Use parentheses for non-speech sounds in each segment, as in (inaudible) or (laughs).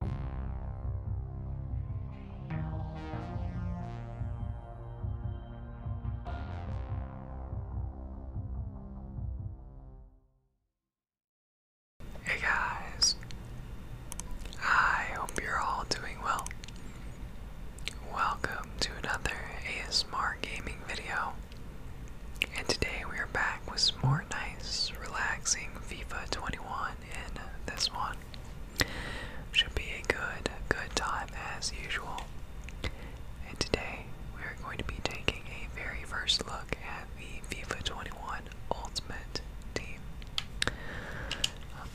Hey guys, I hope you're all doing well. Welcome to another ASMR gaming video, and today we are back with more nice, relaxing FIFA 21 one in this one. Should be a good, good time as usual. And today we are going to be taking a very first look at the FIFA 21 Ultimate Team. Um,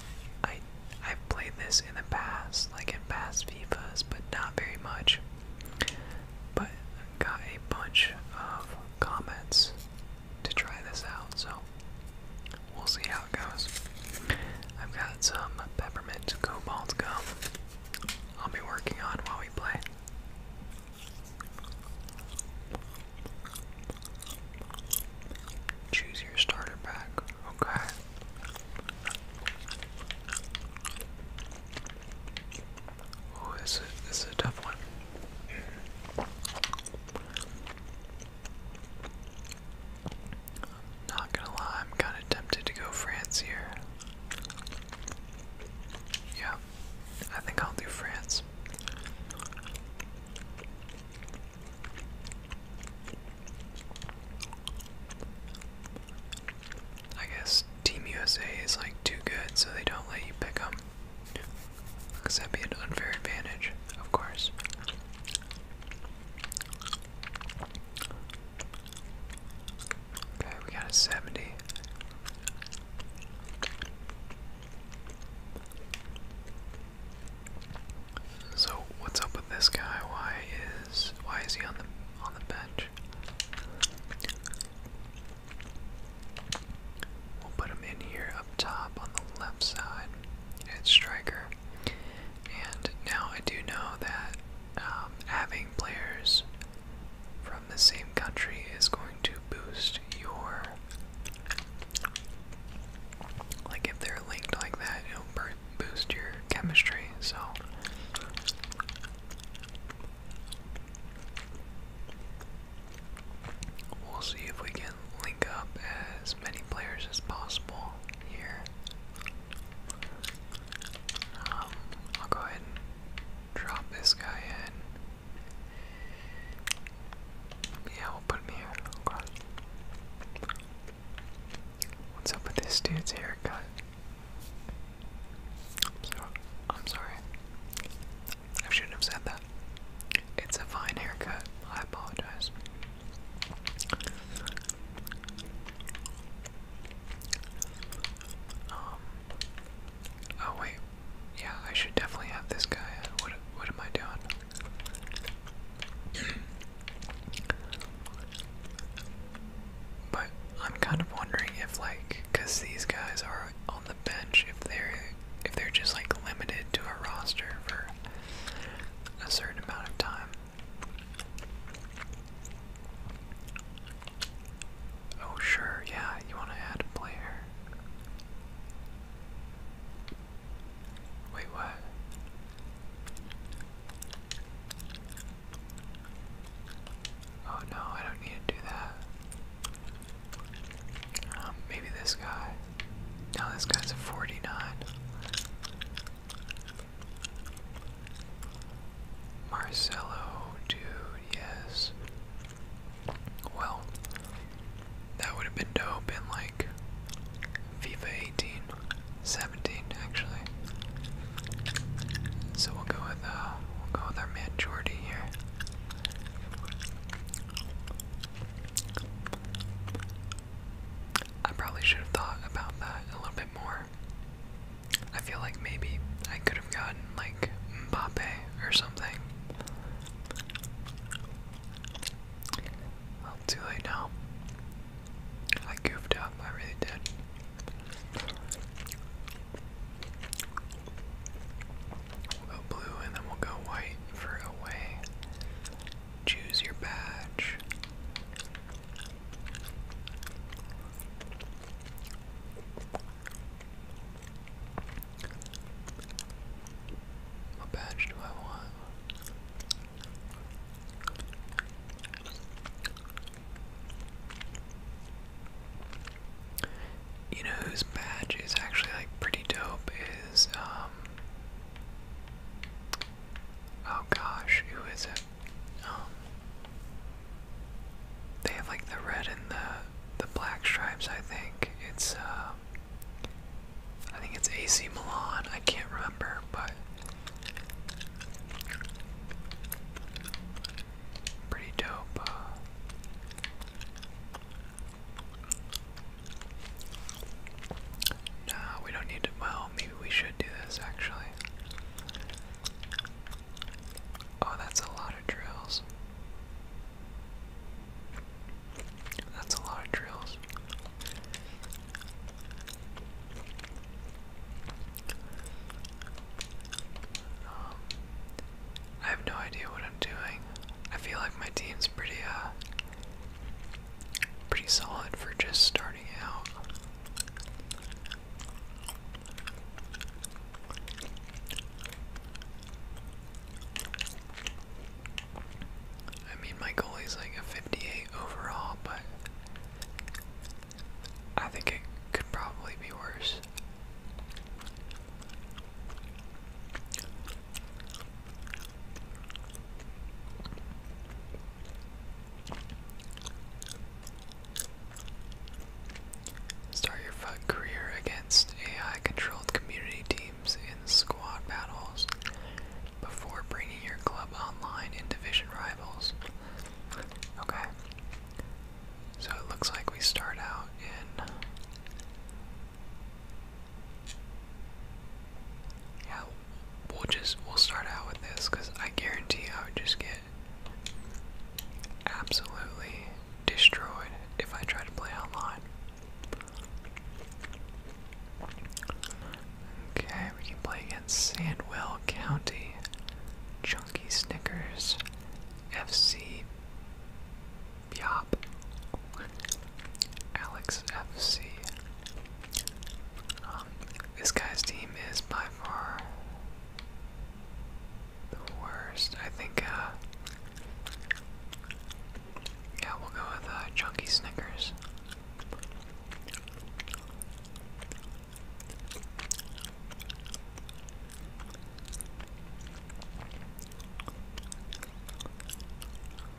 I I've played this in the past, like in past FIFAs, but not very much. But got a bunch of comments to try this out, so we'll see how it goes. I've got some peppermint cobalt gum I'll be working on while we play. Choose your starter pack, okay. Oh, this this is a tough one. Not gonna lie, I'm kind of tempted to go France here. Yeah, I think I'll do France. I guess Team USA is like too good, so they don't let you pick them. Because that'd be an unfair advantage, of course. Okay, we got a 70. So what's up with this guy? Why is why is he on the on the bench? We'll put him in here up top on the left side at striker. And now I do know that um, having players from the same country is going to boost your. Like if they're linked like that, it'll boost your chemistry. So. We'll see if we can link up as many players as possible here. Um, I'll go ahead and drop this guy in. Yeah, we'll put him here. What's up with this dude's haircut? I'm sorry. I shouldn't have said that. It's a fine haircut. I apologize. Um. Oh wait. Yeah, I should definitely have this guy. What? What am I doing? (clears throat) But I'm kind of wondering if, like, because these guys are the bench if they're if they're just like limited to a roster for a certain amount of time. Oh sure, yeah, you want to add a player. Wait, what? Oh no, I don't need to do that. Um, maybe this guy. Now this guy's a 49. Marcelo, dude, yes. Well, that would have been dope in like FIFA 18, 17 actually. So we'll go with uh, we'll go with our man Jordy here. I probably should have thought about that a little bit more. I feel like maybe I could have gotten like Mbappe or something. Well, too late now. I goofed up, I really did go blue and then we'll go white for away. Choose your badge. What badge do I want? You know whose badge is actually like pretty dope is um oh gosh, who is it? Um, they have like the red and the the black stripes. I think it's uh, I think it's AC Milan. I can't remember, but pretty dope. Uh, no, we don't need to. Well, maybe we should do this actually. Oh, that's a lot of drills. That's a lot of drills. Um, I have no idea what I'm doing. I feel like my team's pretty, uh, Pretty solid for just starting out. I mean, my goal like a 58 overall, but I think it could probably be worse. Start your FUD career against AI-controlled community teams in squad battles before bringing your club online in division rivals. Okay. So it looks like we start out in yeah, we'll just we'll start out with this because I guarantee I would just get absolutely destroyed if I try to play online. Okay, we can play against Sandwell County, Chunky Snickers, FC Yop. Alex FC. Um, this guy's team is by far the worst. I think, uh, yeah, we'll go with uh, Chunky Snickers.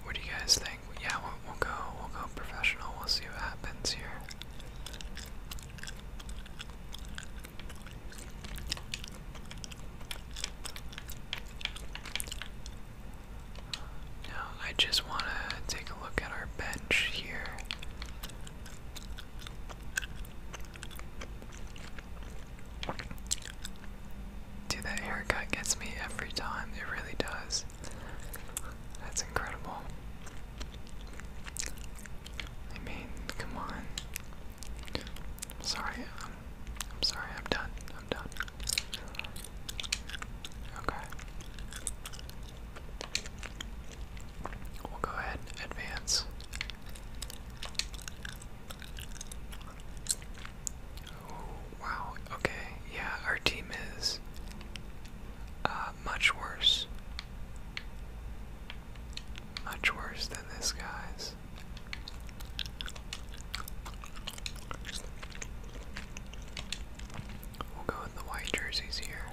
What do you guys think? Yeah, we'll, go. We'll go professional. We'll see what happens here. Now, I just want to take a look at our bench here. Dude, that haircut gets me every time. It really does. That's incredible. I mean, come on. am sorry. I'm, I'm sorry. I'm done. I'm done. Okay. We'll go ahead advance. Oh, wow. Okay. Yeah, our team is uh, much worse. Much worse than this guy's. We'll go with the white jerseys here.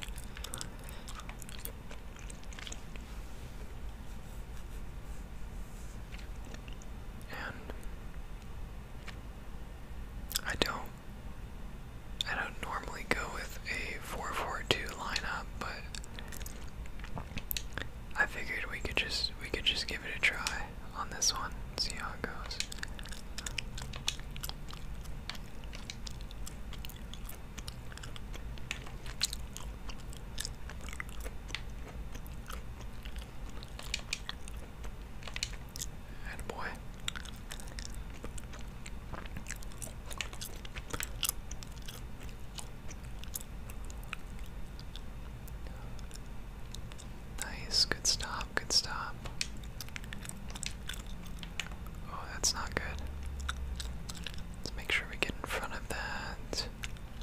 And I don't I don't normally go with a four-four-two lineup, but I figured we could just we could just give it a try on this one, see how it goes. And boy. Nice, good stop, good stop. Oh, that's not good. Let's make sure we get in front of that. (sighs)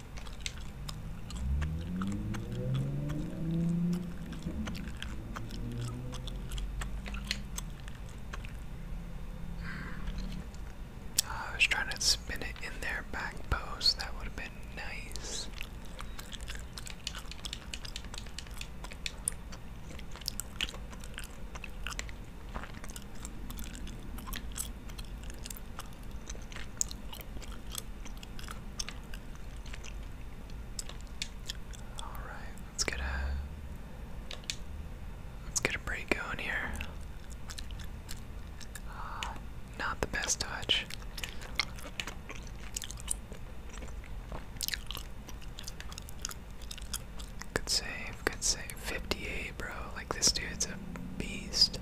I was trying to spin it in their back post. That would have been nice. Alright, let's get a let's get a break going here. Uh, not the best touch. Good save, good save. 58, bro. Like, this dude's a beast.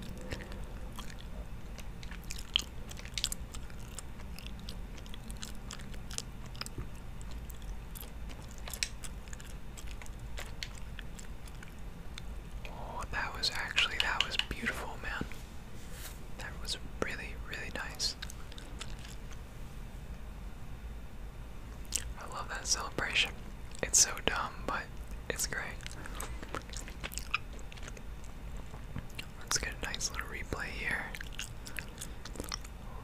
Oh, that was actually, that was beautiful, man. That was really, really nice. I love that celebration. It's so dumb, but it's great. Let's get a nice little replay here.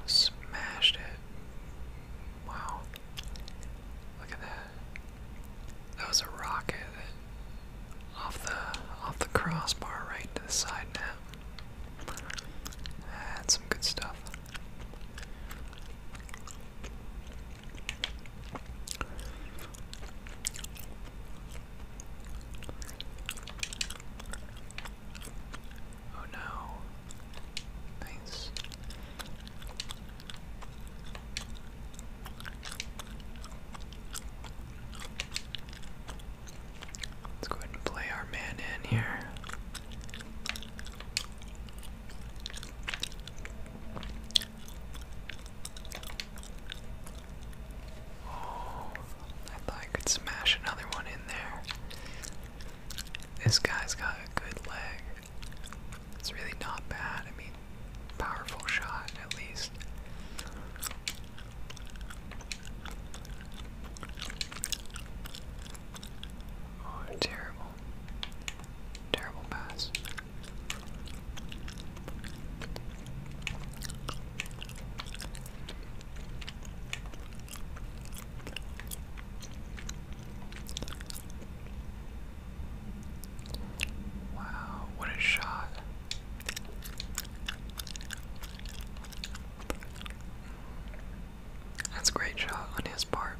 Smashed it. Wow. Look at that. That was a rocket off the off the crossbar right to the side Now That's some good stuff. Oh no. Nice. Let's go ahead and play our man in here. Oh, I thought I could smash another one in there. This guy's got a good leg. It's really not bad. I mean, powerful shot at least. Oh, terrible. Terrible pass. Wow, what a shot. That's a great shot on his part.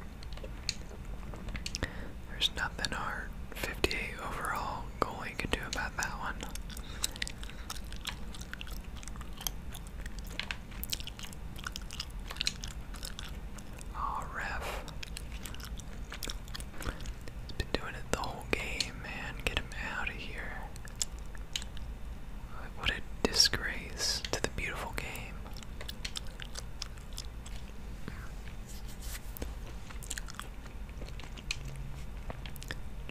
There's nothing hard. 58 overall going could do about that one. Oh, ref. He's been doing it the whole game, man. Get him out of here. What a disgrace to the beautiful game.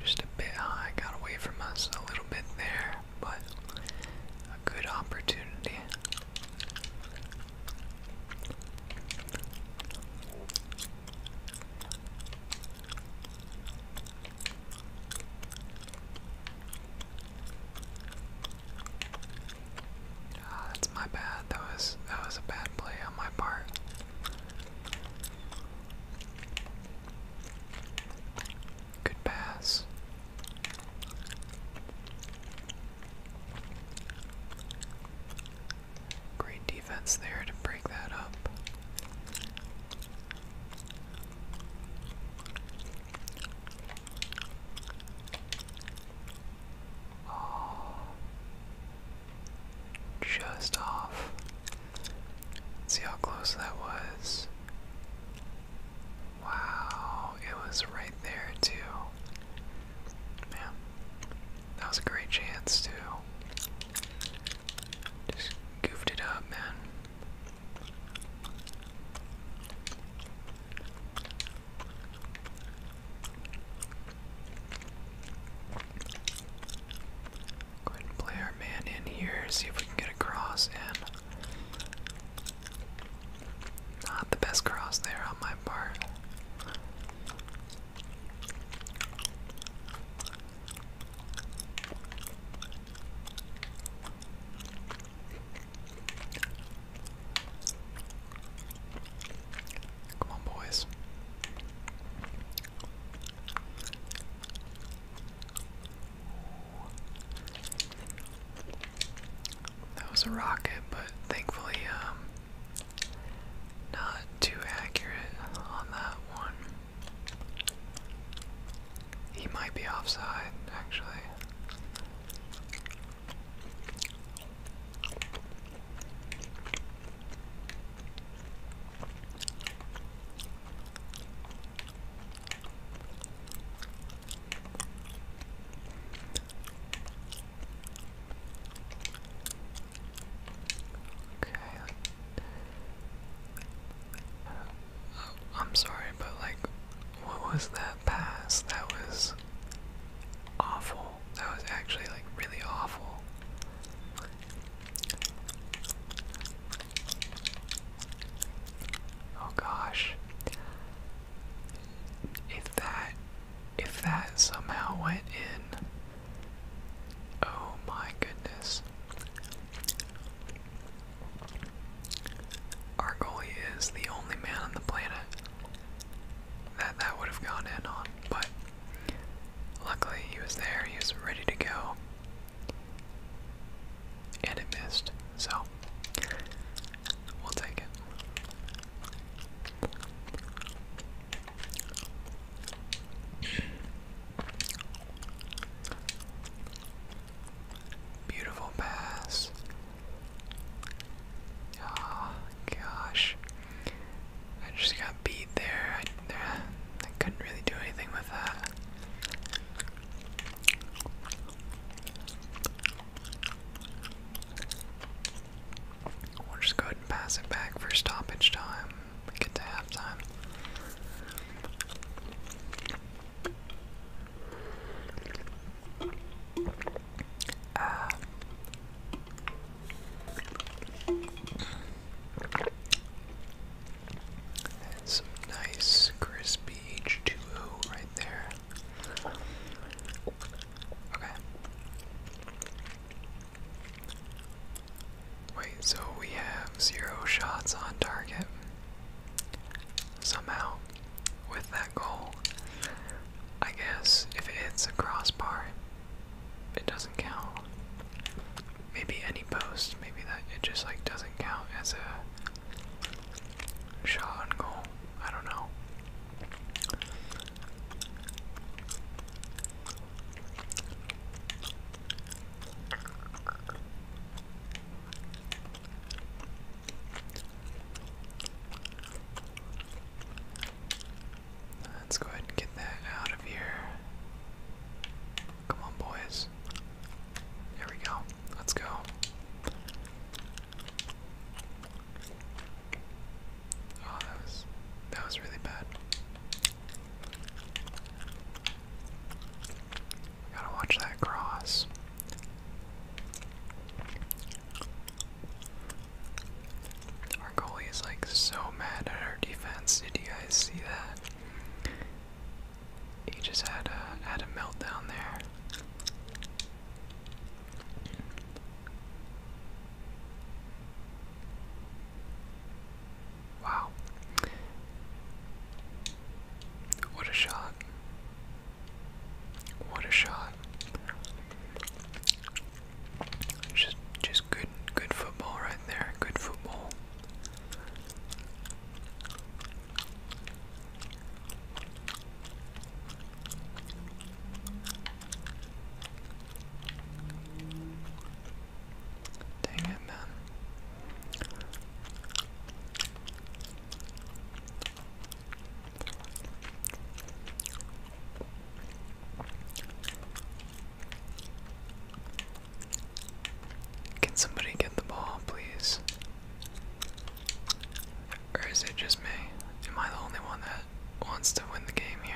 Just a bit high, got away from us a little bit there, but a good opportunity. Ah, that's my bad. That was that was a bad play on my part. Good pass. Great defense there to break that up. Oh just off. See how close that was? Wow, it was right there too. Man, that was a great chance too. Just goofed it up, man. Go ahead and play our man in here, see if we can get a cross in. Not the best cross there on my part. Come on, boys. That was a rocket, but thankfully, um, not too accurate on that one. He might be offside, actually. Okay. I'm sorry, but like, what was that pass? That was awful. That was actually like really awful. Oh gosh. If that if that somehow went in. Oh my goodness. Our goalie is the only man on the planet that that would have gone in on, but Luckily, he was there, he was ready to go. And it missed, so we'll take it. Beautiful bass. Oh ah, gosh. I just got beat there. I, uh, I couldn't really do anything with that. We'll just go ahead and pass it back for stoppage time. We get to halftime. Uh, and some nice crispy H2O right there. Okay. Wait, so we have zero shots on target. Somehow, with that goal, I guess if it a crossbar, it doesn't count maybe any post, maybe that it just like doesn't count as a shot on goal. I don't know. Let's go ahead and get that out of here. Come on, boys. There we go. Let's go. Oh, that was that was really bad. Gotta watch that cross. Our goalie is like so mad at our defense. Did you guys see that? He just had a had a meltdown there. Wow. What a shot. What a shot. Just just good good football right there. Good football. Dang it, man. Can somebody get the ball, please? Or is it just me? Am I the only one that wants to win the game here?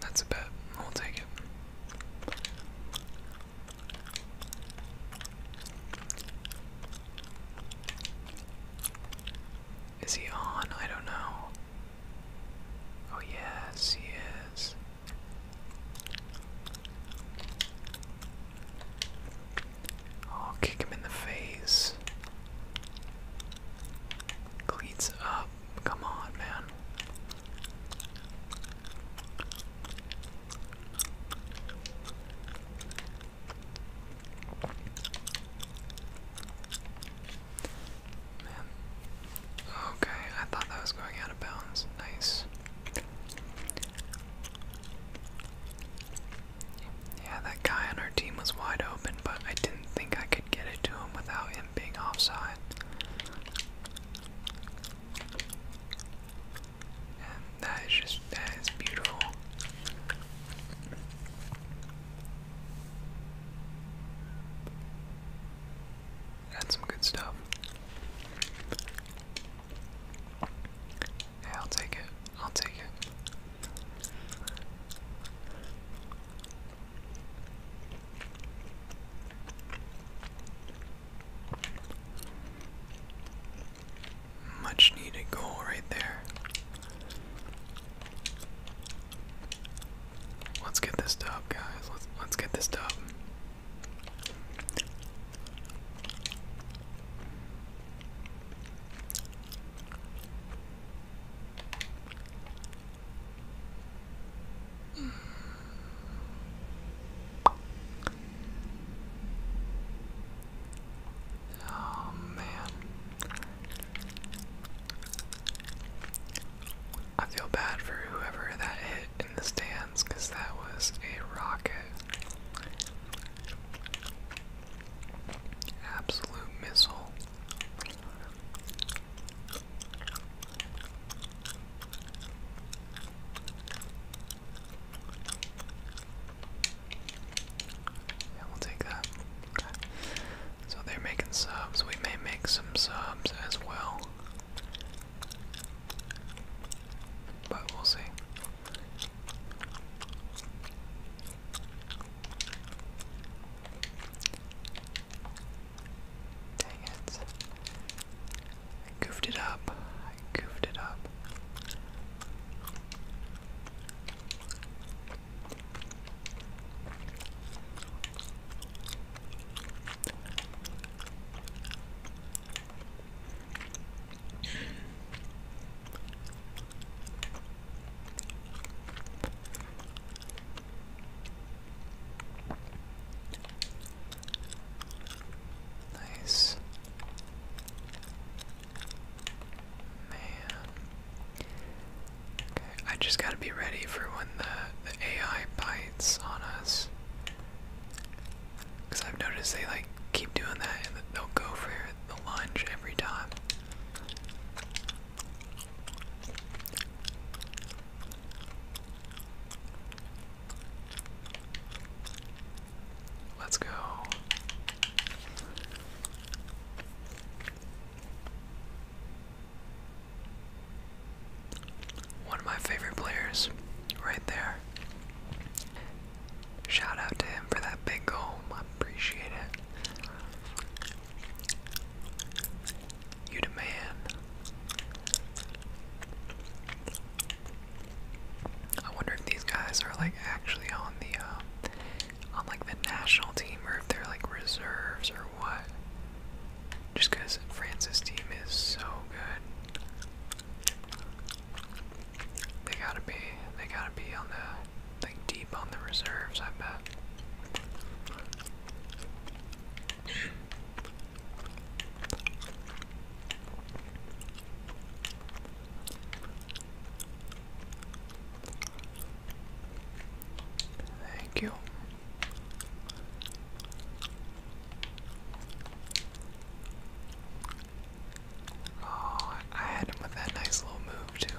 That's a bet. We'll take it. Is he on? I don't know. Oh, yes, he is. Oh, kick him in the face. Cleats up. Come on, man. Man. Okay, I thought that was going out of bounds. Nice. Yeah, that guy on our team was wide open, but I didn't think I could get it to him without him being offside. that is just, that is beautiful. That's some good stuff. I'll take it. I'll take it. Much needed goal right there. Let's get this done, guys. Let's let's get this done. Oh man. I feel bad for whoever that hit in the stands because that was a rocket. Absolute missile. Yeah, we'll take that. So they're making subs. We may make some subs as well. But we'll see. Dang it. I goofed it up. I goofed it up. Nice. Man. Okay, I just gotta be ready for when the, the AI bites on us. Because I've noticed they like keep doing that and they'll go for the lunge every time. Let's go. One of my favorite players, right there. Shout out to him for that big goal. I appreciate it. You the I wonder if these guys are like actually on the um, on like the national team or if they're like reserves or what. Just France's team is so good, they gotta be. They gotta be on the like deep on the reserves, I bet. Thank you. Oh, I had him with that nice little move, too.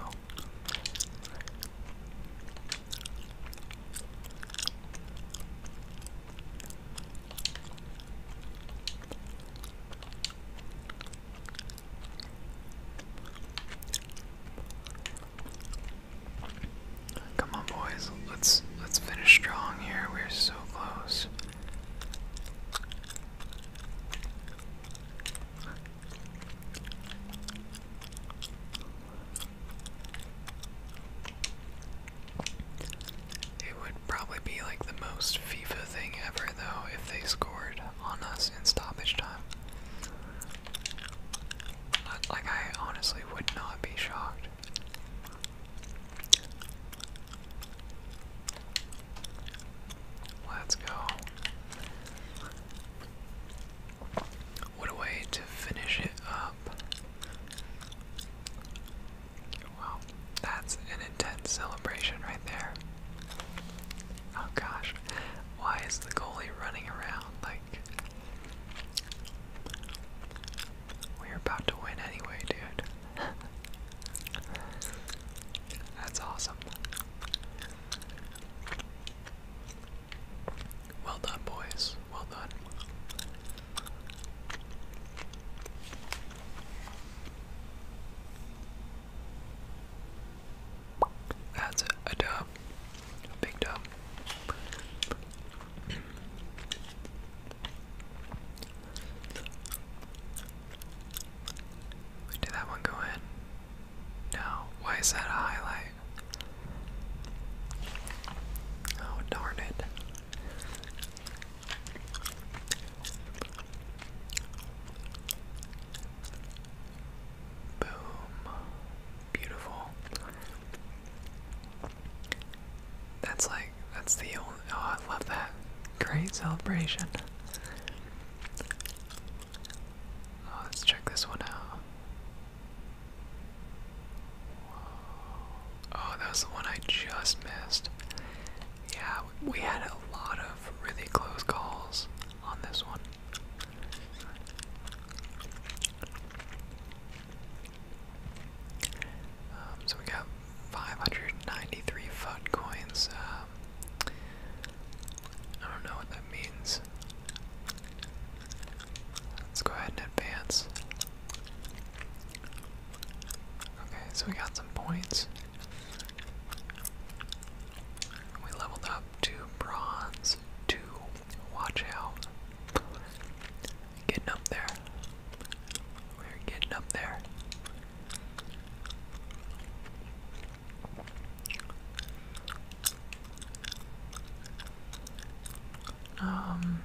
Come on boys, let's let's finish strong here. We're so close. It would probably be like the most FIFA thing ever, though, if they scored on us in stoppage time. Like, I honestly would not be shocked. Let's go. What a way to finish it up. Wow, that's an intense celebration right there. Oh gosh, why is the goalie running around like. We're about to win anyway, dude. (laughs) That's awesome. Well done, boys. Well done. That's A dub. big dub. (clears throat) Did that one go in? No, why is that a highlight? Oh, darn it. Boom. Beautiful. That's like, that's the only. Oh, I love that. Great celebration. Oh, let's check this one out. Oh, that was the one I just missed. Yeah, we had a lot of really close calls on this one. Um, so we got 593 FUD coins. Uh, um, I don't know what that means. Let's go ahead and advance. Okay, so we got some points. We leveled up to bronze to watch out. Getting up there. We're getting up there. Um,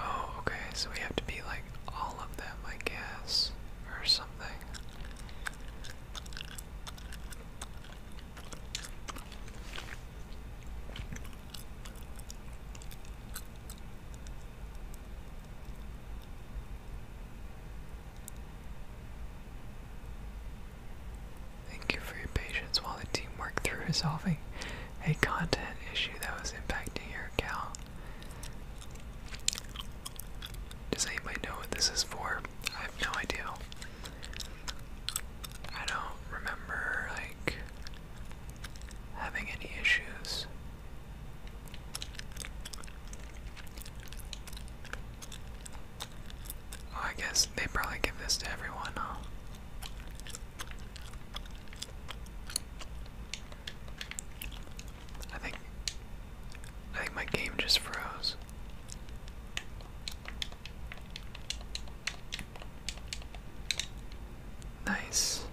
oh, okay, so we have to be like all of them, I guess, or something. Thank you for your patience while the team worked through resolving a content issue that was impacting your account. Does anybody know what this is for? I have no idea. I don't remember like having any issues Oh, I guess they probably give this to everyone, I think I think my game just froze. Nice.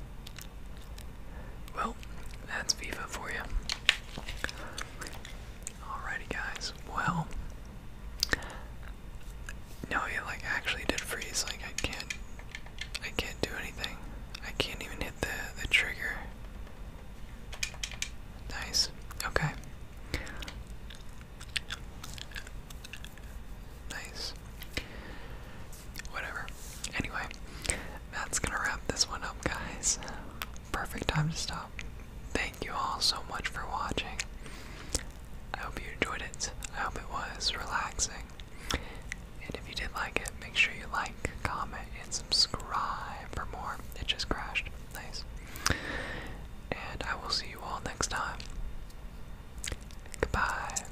Well, that's FIFA for you. Alrighty, guys. Well, no, it like actually did freeze. Like I can't, I can't do anything. I can't even hit the the trigger. Nice. Okay. Nice. Whatever. Anyway, that's gonna wrap this one up, guys. Perfect time to stop. Thank you all so much for watching. I hope you enjoyed it. I hope it was relaxing. And if you did like it, make sure you like, comment, and subscribe for more. It just crashed. Nice. And I will see you all next time. Goodbye.